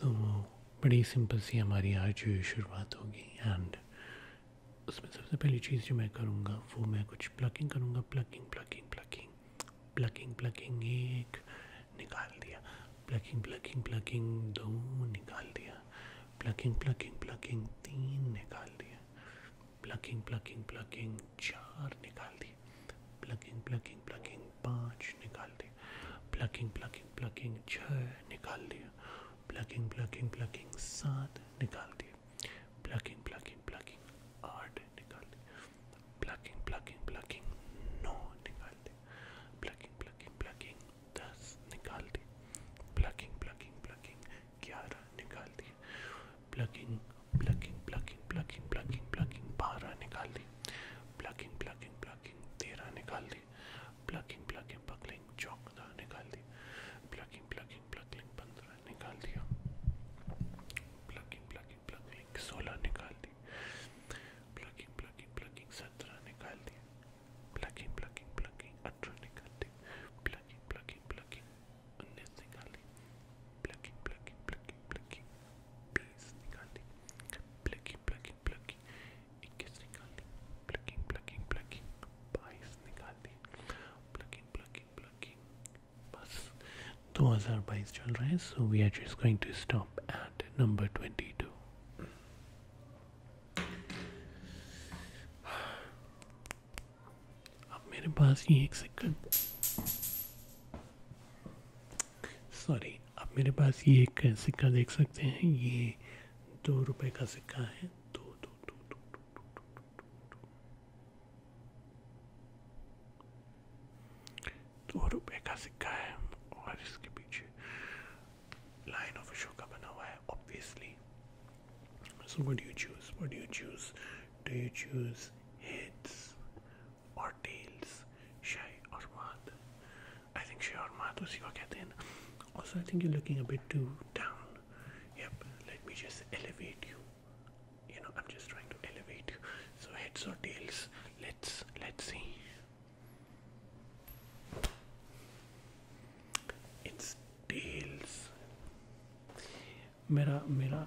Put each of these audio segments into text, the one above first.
तो बड़ी सिंपल सी हमारी आज शुरुआत होगी एंड उसमें सबसे पहली चीज़ जो मैं करूँगा वो मैं कुछ प्लकिंग करूँगा plucking plucking plucking plucking plucking एक निकाल दिया प्लकिंग प्लकिंग प्लकिंग दो निकाल दिया प्लकिंग प्लकिंग प्लकिंग तीन निकाल दिया प्लकिंग प्लकिंग प्लकिंग चार निकाल दिया प्लकिंग प्लकिंग प्लकिंग पाँच निकाल दिया प्लकिंग प्लकिंग प्लकिंग छ निकाल दिया प्लकिंग प्लकिंग प्लकिंग सात निकाल दिए प्लकिंग प्लकिंग प्लकिंग आठ निकाल दिए प्लकिंग प्लकिंग प्लकिंग नौ निकाल दिए प्लकिंग प्लकिंग प्लकिंग दस निकाल दिए प्लकिंग प्लकिंग प्लकिंग ग्यारह निकाल दिए plucking plucking plucking plucking plucking plucking बारह निकाल दी प्लकिंग प्लकिंग प्लकिंग तेरह निकाल दी प्लकिंग प्लकिंग पकलिंग चौक निकाल दी प्लकिंग प्लकिंग प्लकलिंग पंद्रह निकाल दिया प्लकिंग प्लकिंग प्लकलिंग सोलह निकाल दी प्लकिंग प्लकिंग प्लकिंग सत्रह निकाल दी प्लकिंग प्लकिंग प्लकिंग अठारह निकाल दी प्लकिंग प्लकिंग प्लकिंग उन्नीस निकाल दी प्लकिंग प्लकिंग प्लकिंग प्लकिंग बीस निकाल दी प्लकिंग प्लकिंग प्लकिंग प्लकिंग इक्कीस निकाल दी प्लकिंग प्लकिंग प्लकिंग बाईस चल रहा है 22 अब मेरे पास ये एक सेकंड सॉरी अब मेरे पास ये एक सिक्का देख सकते हैं ये दो रुपए का सिक्का है दो दो दो दो, दो, दो, दो, दो, दो रुपए का सिक्का है और इसके पीछे लाइन ऑफ शो का बना हुआ है obviously so what you choose what you choose do you choose heads और टेल्स शाही और मात I think sure, Mathusi will get in. Also, I think you're looking a bit too down. Yep, let me just elevate you. You know, I'm just trying to elevate you. So heads or tails? Let's let's see. It's tails. Mera, mera.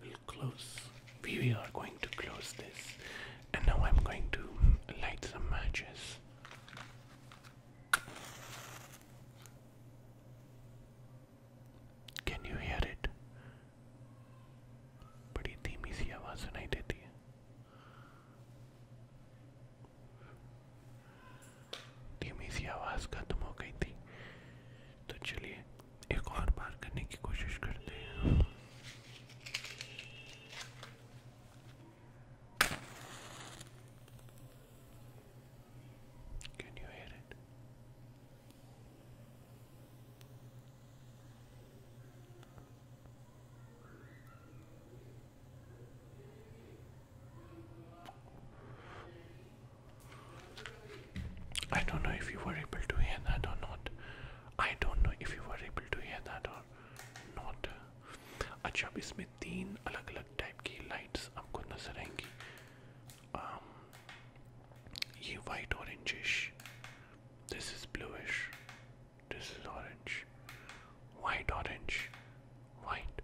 will close. We are going to close this, and now I'm going to light some matches. Can you hear it? बड़ी धीमी सी आवाज सुनाई देती है धीमी सी आवाज खत्म हो गई थी तो चलिए एक और बार करने की कोशिश करते हैं Can you hear it? I don't know if you were able to hear that or not. I don't know if you were able to hear that or not. अच्छा अब इसमें तीन अलग अलग टाइप की लाइट्स आपको नजर आएंगी um, ये white orangish this is bluish this is orange white orange white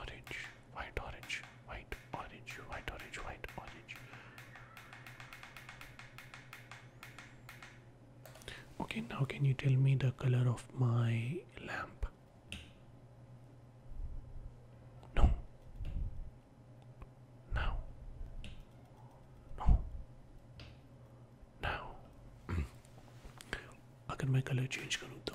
orange white orange white, orange, white, orange, white, orange. Okay, now can you tell me the color of my lamp? No. Now. No. Now. अगर मैं colour change करूँ तो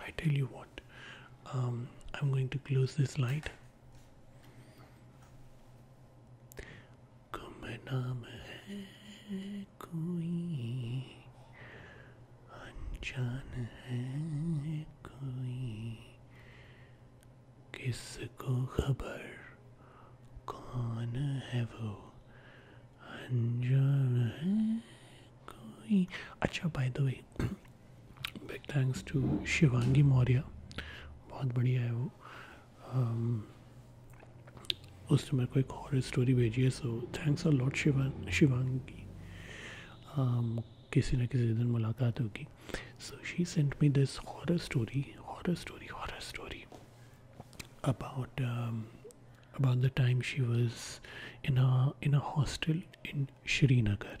I tell you what, um, I'm going to close this light. नाम है कोई अनजान है कोई किसको खबर कौन है वो अच्छा by the way big thanks to Shivangi Maurya बहुत बढ़िया है वो um, उसने मेरे को एक हॉरर स्टोरी भेजी है so thanks a lot Shivang Shivangi um, किसी न किसी दिन मुलाकात होगी so she sent me this horror story horror story horror story about about the time she was in a in a hostel in Srinagar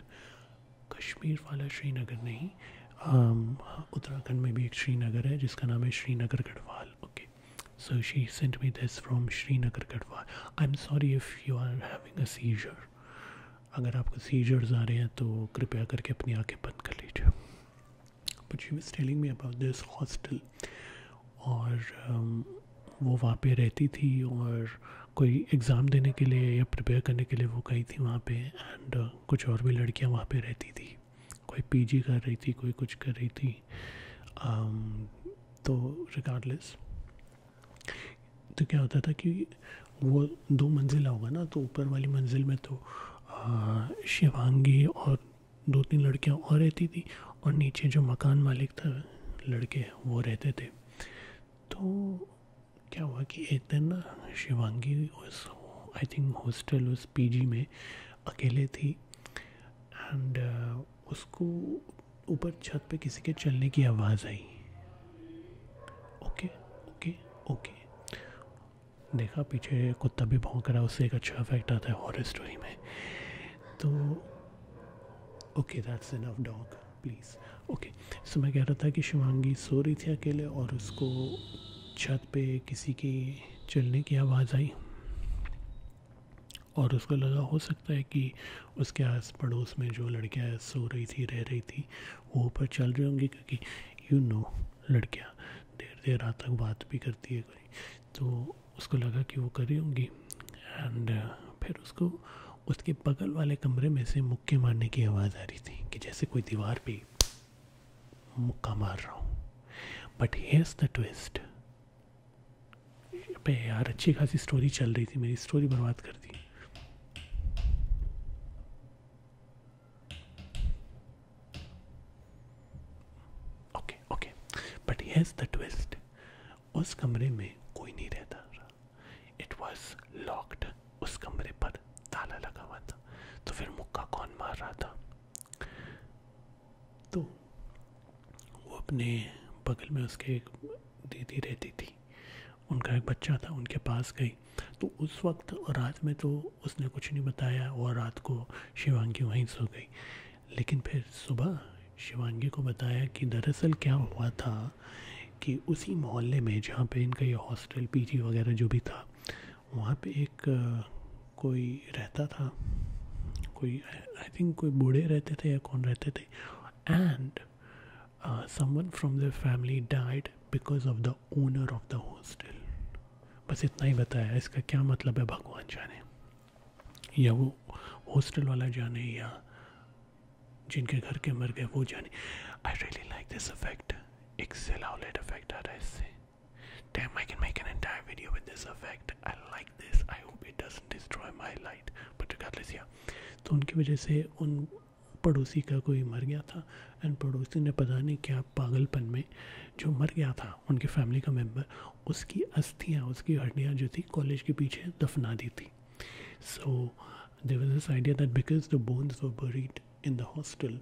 Kashmir वाला श्रीनगर नहीं उत्तराखंड में भी एक श्रीनगर है जिसका नाम है Srinagar Garhwal okay so she sent me this from Srinagar Garhwal I am sorry if you are having a seizure अगर आपको सीजर्स आ रहे हैं तो कृपया करके अपनी आंखें बंद कर लीजिए but she was telling me about this hostel और um, वो वहाँ पे रहती थी और कोई एग्ज़ाम देने के लिए या प्रिपेयर करने के लिए वो गई थी वहाँ पे एंड uh, कुछ और भी लड़कियाँ वहाँ पे रहती थी कोई पीजी कर रही थी कोई कुछ कर रही थी um, तो रिगार्डलेस तो क्या होता था कि वो दो मंजिला होगा ना तो ऊपर वाली मंजिल में तो uh, शिवांगी और दो तीन लड़कियाँ और रहती थी और नीचे जो मकान मालिक था लड़के वो रहते थे तो क्या हुआ कि एक दिन ना शिवांगी उस आई थिंक हॉस्टल उस पीजी में अकेले थी एंड uh, उसको ऊपर छत पे किसी के चलने की आवाज़ आई ओके ओके ओके देखा पीछे कुत्ता भी भौंक रहा उससे एक अच्छा इफेक्ट आता है हॉरर स्टोरी में तो okay that's enough dog please okay so मैं कह रहा था कि शिवांगी सो रही थी अकेले और उसको छत पे किसी की चलने की आवाज़ आई और उसको लगा हो सकता है कि उसके आस पड़ोस में जो लड़कियाँ सो रही थी रह रही थी वो ऊपर चल रही होंगी क्योंकि यू नो लड़कियाँ देर देर रात तक बात भी करती है कोई तो उसको लगा कि वो करी होंगी एंड uh, फिर उसको उसके बगल वाले कमरे में से मुक्के मारने की आवाज़ आ रही थी कि जैसे कोई दीवार पे मुक्का मार रहा हूँ बट हेयर्स द ट्विस्ट पे यार अच्छी खासी स्टोरी चल रही थी मेरी स्टोरी बर्बाद कर दी okay okay but here's the twist उस कमरे में कोई नहीं रहता इट वॉज लॉक्ड उस कमरे पर ताला लगा हुआ था तो फिर मुक्का कौन मार रहा था तो वो अपने बगल में उसके एक दीदी रहती थी उनका एक बच्चा था उनके पास गई तो उस वक्त रात में तो उसने कुछ नहीं बताया और रात को शिवांगी वहीं सो गई लेकिन फिर सुबह शिवांगी को बताया कि दरअसल क्या हुआ था कि उसी मोहल्ले में जहाँ पे इनका ये हॉस्टल पीजी वगैरह जो भी था वहाँ पे एक कोई रहता था कोई आई थिंक कोई बूढ़े रहते थे या कौन रहते थे and someone from the family died because of the owner of the hostel बस इतना ही बताया इसका क्या मतलब है भगवान जाने या वो हॉस्टल वाला जाने या जिनके घर के मर गए वो जाने I really like this effect एक सेलाउलेट अफेक्ट आ रहा है इससे Damn, I can make an entire video with this effect. I like this. I hope it doesn't destroy my light. But regardless, yeah. तो उनकी वजह से उन पड़ोसी का कोई मर गया था एंड पड़ोसी ने पता नहीं क्या पागलपन में जो मर गया था उनकी फैमिली का मेम्बर उसकी अस्थियाँ उसकी हड्डियाँ जो थी कॉलेज के पीछे दफना दी थी so they was this idea that because the bones were buried in the hostel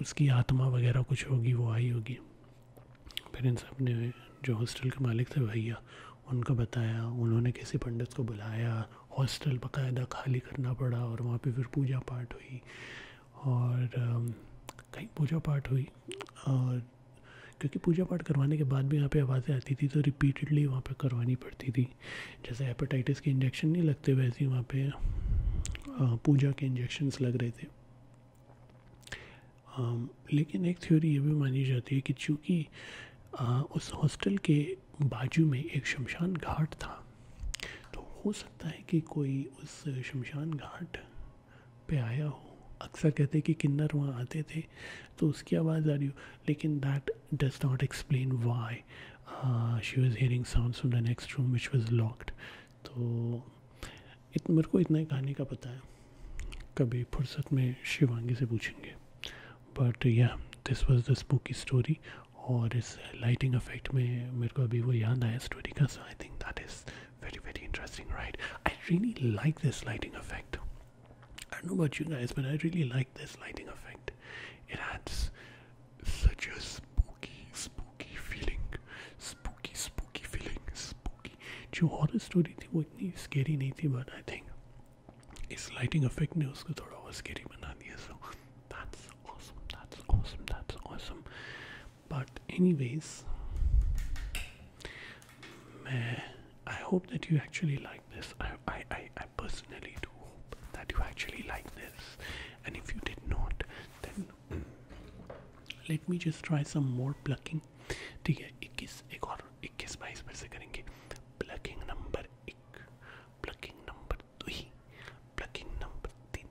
उसकी आत्मा वगैरह कुछ होगी वो आई होगी फिर इन सब ने जो हॉस्टल के मालिक थे भैया उनको बताया उन्होंने किसी पंडित को बुलाया हॉस्टल बाकायदा खाली करना पड़ा और वहाँ पे फिर पूजा पाठ हुई और कई पूजा पाठ हुई और क्योंकि पूजा पाठ करवाने के बाद भी यहाँ पे आवाज़ें आती थी तो रिपीटेडली वहाँ पे करवानी पड़ती थी जैसे हेपेटाइटिस के इंजेक्शन नहीं लगते वैसे ही वहाँ पर पूजा के इंजेक्शन्स लग रहे थे आ, लेकिन एक थ्योरी ये भी मानी जाती है कि चूँकि उस हॉस्टल के बाजू में एक शमशान घाट था तो हो सकता है कि कोई उस शमशान घाट पे आया हो अक्सर कहते हैं कि किन्नर वहाँ आते थे तो उसकी आवाज़ आ रही हो लेकिन that does not explain why she was hearing sound from the next room which was locked तो इत मेरे को इतना ही कहानी का पता है कभी फुर्सत में शिवांगी से पूछेंगे but yeah this was the spooky story और इस लाइटिंग अफेक्ट में मेरे को अभी वो याद आया स्टोरी का I think that is very, very interesting, right? I really like this lighting effect. I don't know about you guys, but I really like this lighting effect. It adds such a spooky, spooky feeling. Spooky, spooky feeling. Spooky. जो horror story थी वो इतनी scary नहीं थी but I think इस lighting effect ने उसको थोड़ा और स्केरी बना दिया so That's awesome. That's awesome. That's awesome but anyways i hope that you actually like this I, I i personally do hope that you actually like this and if you did not then mm, let me just try some more plucking ठीक है 21 एक और 21 22 पर से करेंगे plucking number 1 plucking number 2 plucking number 3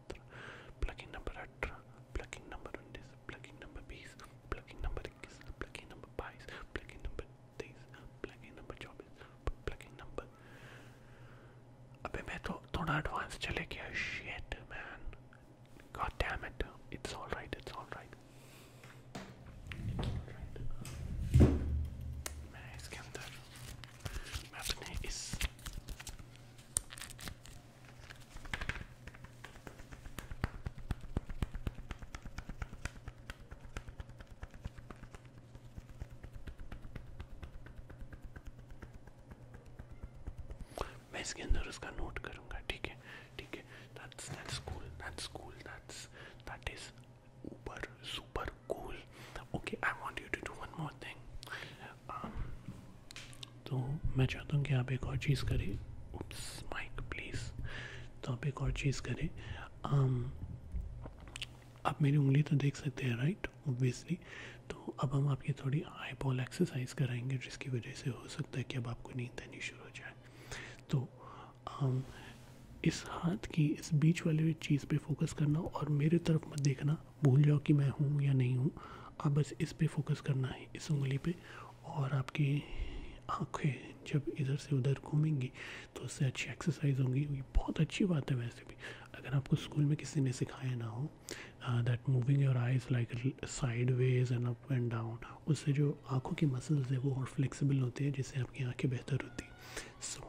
सत्रह plugging number अठारह plugging number उन्नीस प्लगिंग नंबर बीस प्लगिंग नंबर इक्कीस प्लगिंग नंबर बाईस प्लगिंग नंबर तेईस प्लगिंग नंबर चौबीस प्लगिंग नंबर अबे मैं तो थोड़ा एडवांस चले गया shit man God damn it it's alright it's alright मैं इसके अंदर मैं अपने इस मैं इसके अंदर उसका नोट करूंगा ठीक है ठीक है that's that's cool that's cool that's that is ऊपर super cool okay I want you to do one more thing Um, तो मैं चाहता हूँ कि आप एक और चीज़ करें माइक प्लीज़ तो आप एक और चीज़ करें um, आप मेरी उंगली तो देख सकते हैं राइट ओबियसली तो अब हम आपकी थोड़ी आई बॉल एक्सरसाइज कराएंगे जिसकी वजह से हो सकता है कि अब आपको नींद आनी शुरू हो जाए तो आम, um, इस हाथ की इस बीच वाले चीज़ पे फोकस करना और मेरे तरफ मत देखना भूल जाओ कि मैं हूँ या नहीं हूँ आप बस इस पे फोकस करना है इस उंगली पे और आपकी आंखें जब इधर से उधर घूमेंगी तो उससे अच्छी एक्सरसाइज होंगी ये बहुत अच्छी बात है वैसे भी अगर आपको स्कूल में किसी ने सिखाया ना हो that moving your eyes like sideways and up and down उससे जो आँखों की मसल्स है वो और फ्लेक्सिबल होते हैं जिससे आपकी आँखें बेहतर होती सो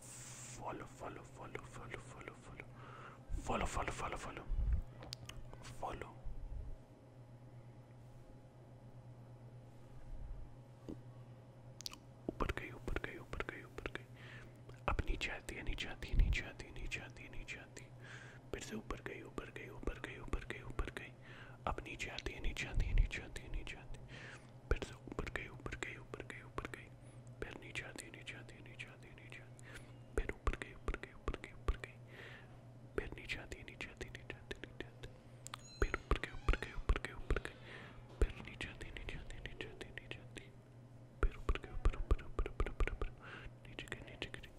follow follow follow follow follow follow follow follow follow follow follow ऊपर गई ऊपर गई ऊपर गई ऊपर गई अब नीचे आती है नीचे आती है नीचे आती है नीचे आती है नीचे आती फिर से ऊपर गई ऊपर गई ऊपर गई ऊपर गई ऊपर गई अब नीचे आती है नीचे आती है नीचे आती है नीचे आती है पैर से ऊपर गई ऊपर गई ऊपर गई ऊपर गई पैर नीचे आती नीचे आती नीचे आती नीचे आती पैर ऊपर गई ऊपर गई ऊपर गई ऊपर गई पैर नीचे आती नीचे आती नीचे आती नीचे आती पैर ऊपर गई ऊपर गई ऊपर गई ऊपर गई पैर नीचे आती नीचे आती नीचे आती नीचे आती पैर ऊपर गई ऊपर ऊपर ऊपर ऊपर ऊपर ऊपर नीचे गई नीचे गई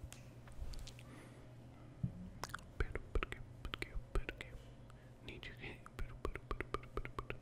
पैर ऊपर गई ऊपर गई ऊपर गई नीचे गई पैर ऊपर ऊपर ऊपर ऊपर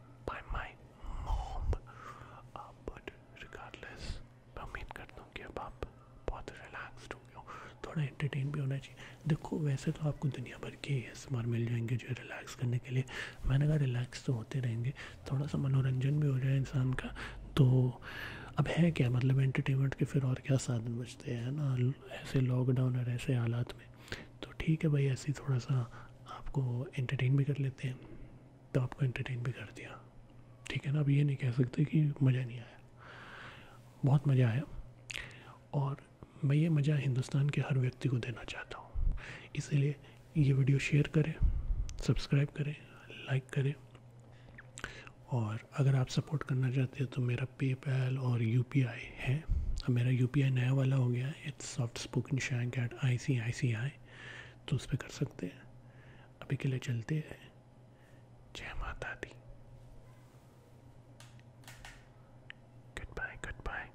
Uh, उम्मीद करता हूँ कि आप थोड़ा एंटरटेन भी होना चाहिए देखो वैसे तो आपको दुनिया भर के एसमार मिल जाएंगे जो रिलैक्स करने के लिए मैंने कहा रिलैक्स तो होते रहेंगे थोड़ा सा मनोरंजन भी हो जाए इंसान का तो अब है क्या मतलब एंटरटेनमेंट के फिर और क्या साधन बचते हैं ना ऐसे लॉकडाउन और ऐसे हालात में तो ठीक है भाई ऐसे ही थोड़ा सा आपको एंटरटेन भी कर लेते हैं तो आपको एंटरटेन भी कर दिया ठीक है ना अब ये नहीं कह सकते कि मज़ा नहीं आया बहुत मज़ा आया और मैं ये मज़ा हिंदुस्तान के हर व्यक्ति को देना चाहता हूँ इसलिए ये वीडियो शेयर करें सब्सक्राइब करें लाइक करें और अगर आप सपोर्ट करना चाहते हैं तो मेरा पेपैल और यू पी आई है अब मेरा यू पी आई नया वाला हो गया है it's soft spoken shank at I C I C I तो उस पर कर सकते हैं अभी के लिए चलते हैं जय माता दी गुड बाय गुड बाय